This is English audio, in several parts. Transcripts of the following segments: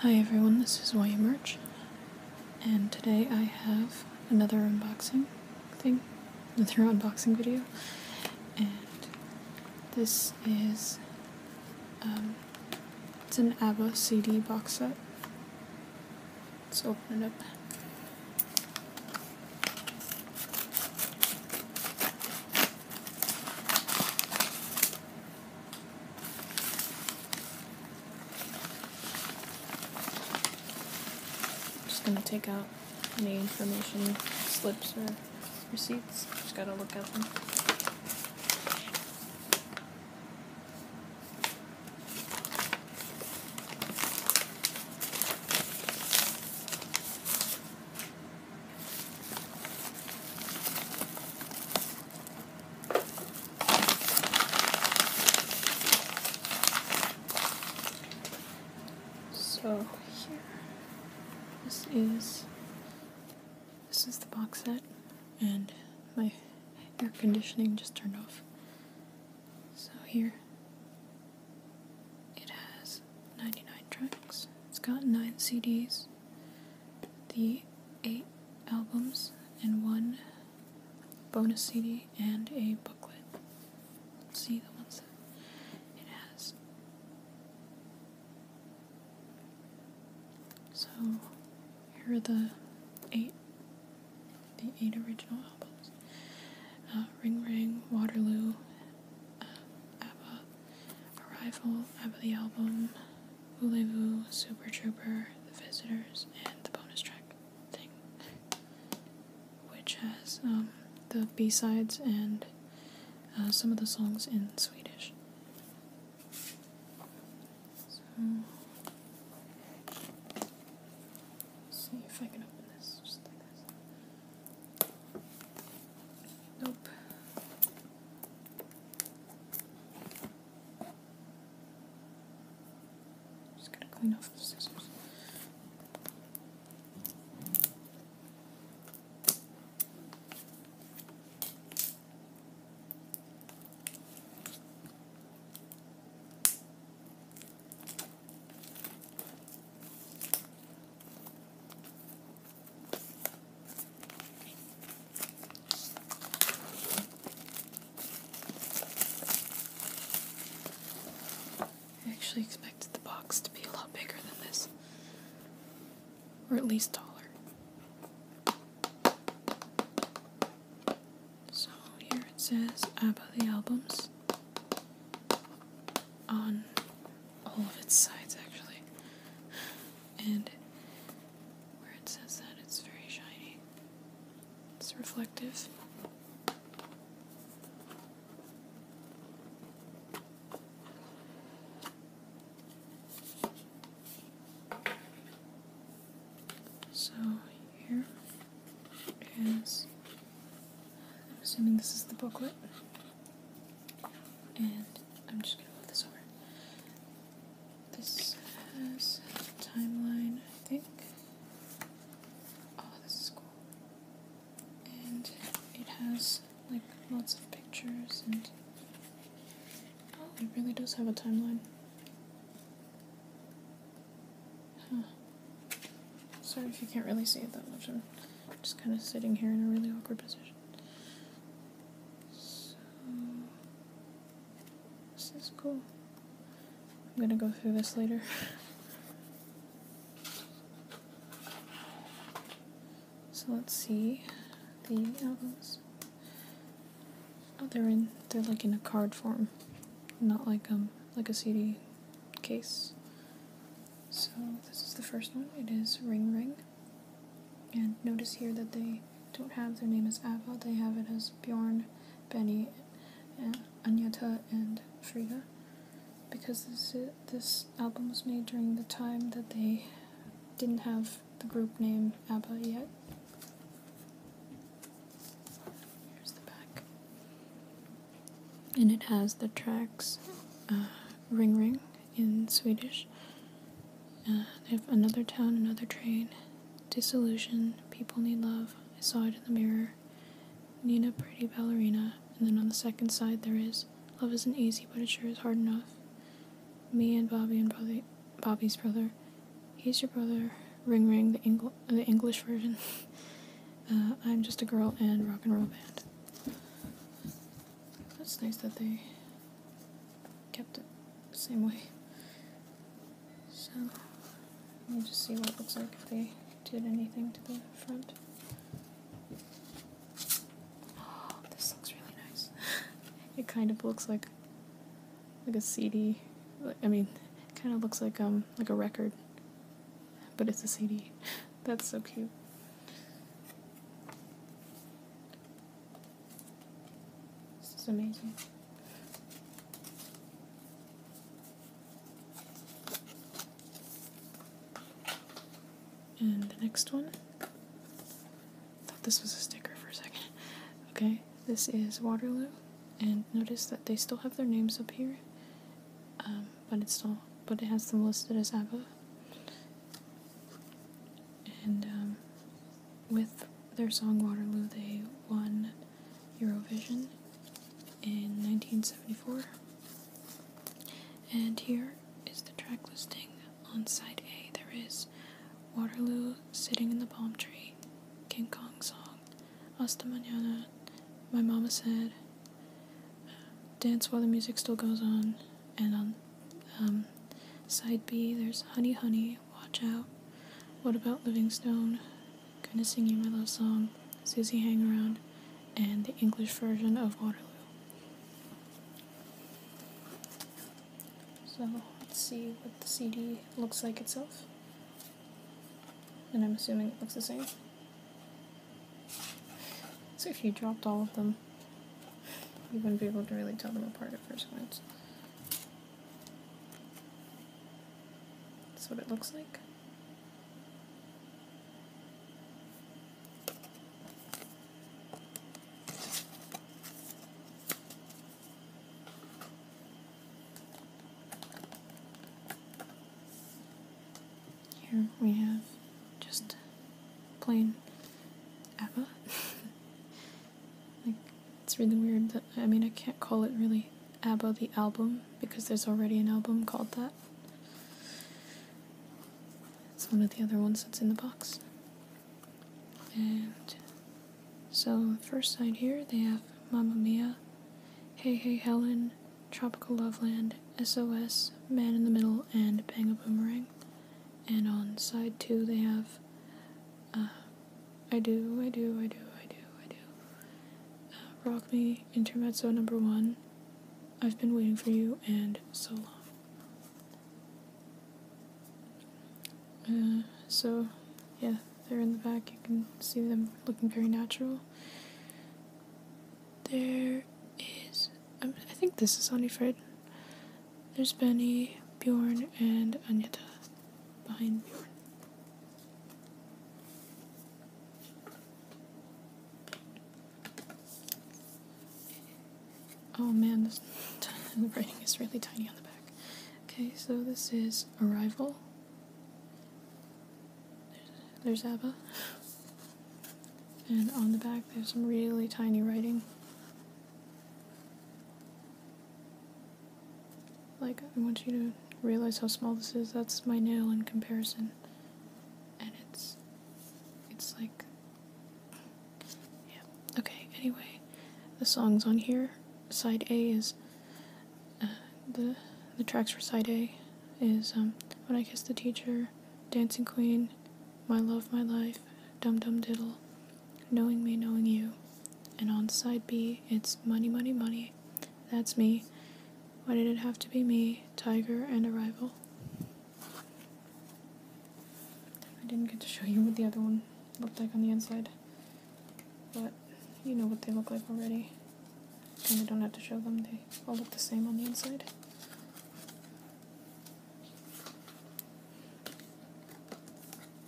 Hi everyone, this is YA Merch, and today I have another unboxing thing, another unboxing video, and this is, um, it's an Ava CD box set. Let's open it up just gonna take out any information slips or receipts. Just gotta look at them. So here, this is this is the box set, and my air conditioning just turned off. So here, it has 99 tracks. It's got nine CDs the eight albums and one bonus CD and a booklet. Let's see the ones that it has. So here are the eight, the eight original albums: uh, Ring Ring, Waterloo, uh, Abba, Arrival, Abba the Album, Voulez-Vous, Super Trooper, The Visitors, and the bonus track thing, which has um, the B-sides and uh, some of the songs in Swedish. see if I can open this. Nope. Just going to clean off the scissors. I actually expected the box to be a lot bigger than this, or at least taller. So here it says ABBA the albums on all of its sides, actually and where it says that it's very shiny. It's reflective. So here is, I'm assuming this is the booklet. And I'm just going to move this over. This has timeline, I think. Oh, this is cool. And it has like lots of pictures and. Oh, it really does have a timeline. Huh. Sorry if you can't really see it that much. I'm just kind of sitting here in a really awkward position. So, this is cool. I'm gonna go through this later. so let's see the albums. Oh, they're in. They're like in a card form, not like um like a CD case. So this is the first one. It is Ring Ring. And notice here that they don't have their name as Ava, they have it as Bjorn, Benny, and Anyata, and Frida. Because this, album was made during the time that they didn't have the group name ABBA yet. Here's the back. And it has the tracks. Uh, ring ring in Swedish. Uh, they another town, another train, disillusion, people need love. I saw it in the mirror. Nina, pretty ballerina, and then on the second side there is love isn't easy, but it sure is hard enough. Me and Bobby and Bobby's brother. He's your brother. Ring ring, the English version. Uh, I'm just a girl and rock and roll band. That's nice that they kept it the same way. So, let me just see what it looks like if they did anything to the front. Oh, this looks really nice. it kind of looks like like a CD. I mean, it kind of looks like um like a record, but it's a CD. That's so cute. This is amazing. And the next one. I thought this was a sticker for a second. Okay, this is Waterloo. And notice that they still have their names up here. Um, but it's still but it has them listed as ABBA. And um, with their song Waterloo, they won Eurovision in 1974. And here is the track listing on side A. There is Waterloo, Sitting in the Palm Tree, King Kong Song, Asta Mañana, My Mama Said, uh, Dance While the Music Still Goes On. And on um, side B, there's Honey Honey, Watch Out, What About Livingstone, Gonna Sing You My Love Song, Susie Hang Around, and the English version of Waterloo. So let's see what the CD looks like itself. And I'm assuming it looks the same. So if you dropped all of them, you wouldn't be able to really tell them apart at first glance. That's what it looks like. Here we have just plain ABBA. like, it's really weird that, I mean, I can't call it really ABBA the album because there's already an album called that. It's one of the other ones that's in the box. And so, first side here, they have Mama Mia, Hey Hey Helen, Tropical Loveland, SOS, Man in the Middle, and Bang a Boomerang. And on side two, they have I Do, I Do, I Do, I Do, I Do. rock Me, Intermezzo number one. I've been waiting for you, and so long. so, yeah, they're in the back. You can see them looking very natural. There is. Um, I think this is Onifred. There's Benny, Bjorn, and Anyata behind Bjorn. Oh man, the writing is really tiny on the back. Okay, so this is Arrival. there's ABBA. And on the back, there's some really tiny writing. Like, I want you to realize how small this is. That's my nail in comparison. And it's, it's like, yeah. Okay, anyway, the songs on here, side A is, uh, the, the tracks for side A is, um, When I Kissed the Teacher, Dancing Queen, my love, my life, dum dum diddle, knowing me, knowing you. And on side B, it's money, money, money. That's me. Why did it have to be me, Tiger, and a rival? I didn't get to show you what the other one looked like on the inside, but you know what they look like already. And I don't have to show them, they all look the same on the inside.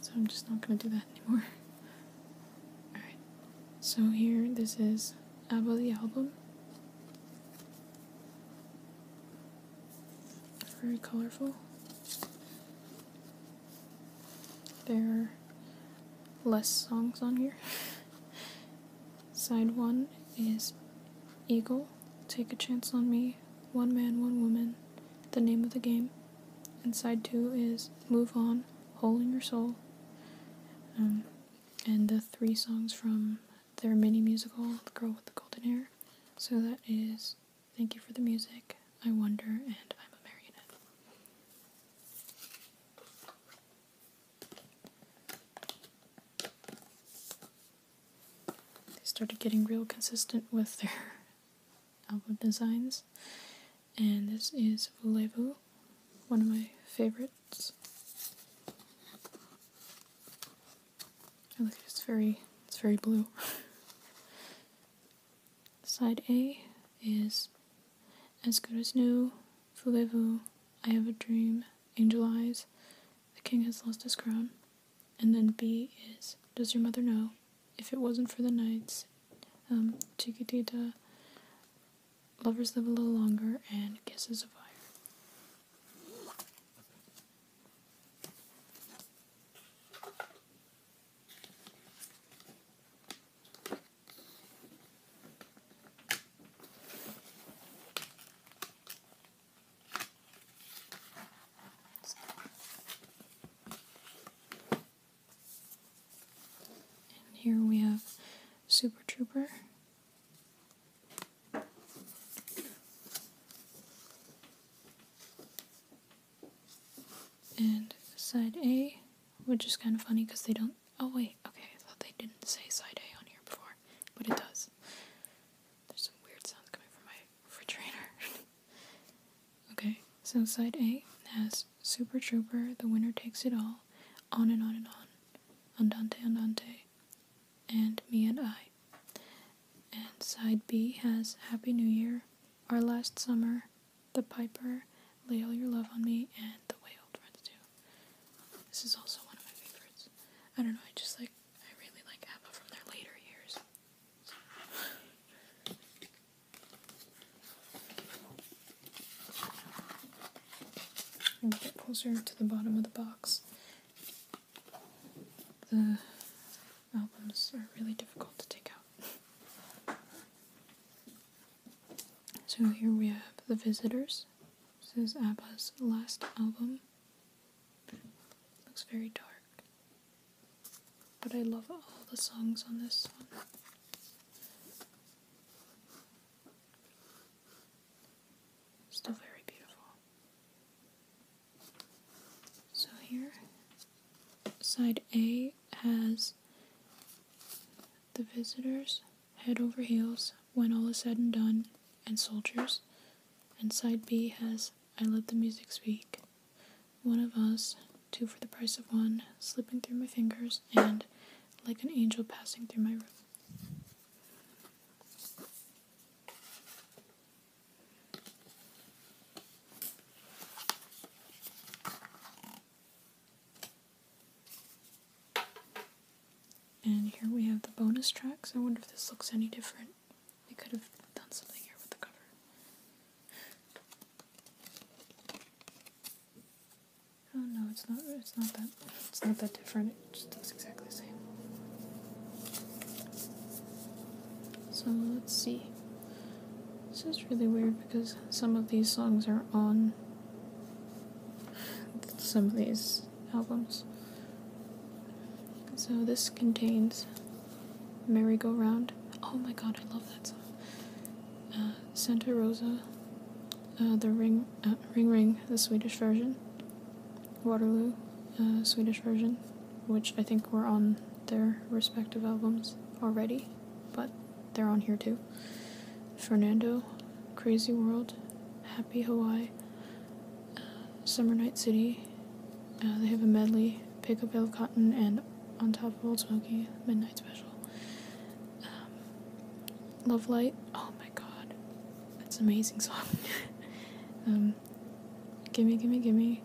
So I'm just not going to do that anymore. Alright, so here this is about the album. Very colorful. There are less songs on here. Side one is Eagle, Take a Chance on Me, One Man, One Woman, The Name of the Game. And side two is Move On, Hole in Your Soul. Um, and the three songs from their mini musical, The Girl with the Golden Hair. So that is Thank You for the Music, I Wonder, and I'm a Marionette they started getting real consistent with their album designs. And this is voulez one of my favorites. look, it's very, it's very blue. Side A is As Good As New, voulez I Have a Dream, Angel Eyes, The King Has Lost His Crown. And then B is Does Your Mother Know? If It Wasn't for the knights, um, Chiquitita, Lovers Live a Little Longer, and Kisses of Fire here we have Super Trooper. And side A, which is kind of funny because they don't. Oh, wait, okay, I thought they didn't say side A on here before but it does. There's some weird sounds coming from my refrigerator. okay, so side A has Super Trooper, The Winner Takes It All, On and On and On, Andante Andante, and Me and I. And side B has Happy New Year, Our Last Summer, The Piper, Lay All Your Love on Me, and The Way Old Friends Do. This is also one of my favorites. I don't know, I just like, I really like ABBA from their later years. get closer to the bottom of the box. The albums are really difficult to take out. So here we have The Visitors. This is ABBA's last album. Looks very dark. But I love all the songs on this one. Still very beautiful. So here, side A has the visitors. Head Over Heels, When All Is Said and Done, and Soldiers. And side B has I Let the Music Speak, One of Us, Two for the Price of One, Slipping Through My Fingers, and Like an Angel Passing Through My Room. And here we have the bonus tracks. I wonder if this looks any different. We could have done something here with the cover. Oh no, it's not. It's not that. It's not that different. It just looks exactly the same. So let's see. This is really weird because some of these songs are on some of these albums. So this contains Merry Go Round. Oh my god, I love that song. Uh, Santa Rosa, uh, the Ring, uh, Ring Ring, the Swedish version. Waterloo, Swedish version, which I think were on their respective albums already, but they're on here too. Fernando, Crazy World, Happy. Happy Hawaii, uh, Summer Night City. Uh, they have a medley, Pick Up Bale Cotton, and On Top of Old Smoky, Midnight Special. Um, Love Light, oh my god, that's an amazing song. Um, Gimme, Gimme, Gimme,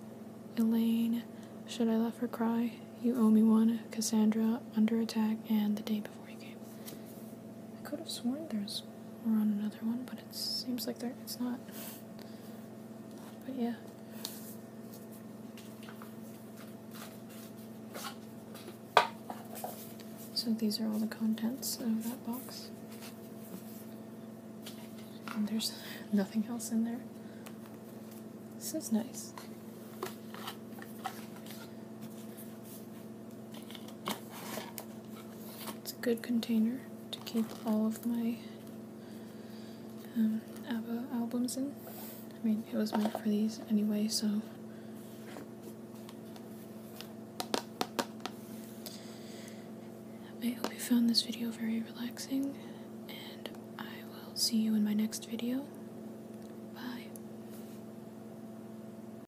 Elaine, Should I Laugh or Cry, You Owe Me One, Cassandra, Under Attack, and The Day Before. I could have sworn there's more on another one, but it seems like there it's not. But yeah. So these are all the contents of that box. And there's nothing else in there. This is nice. It's a good container to keep all of my um, ABBA albums in. I mean, it was meant for these anyway, so. I hope you found this video very relaxing, and I will see you in my next video.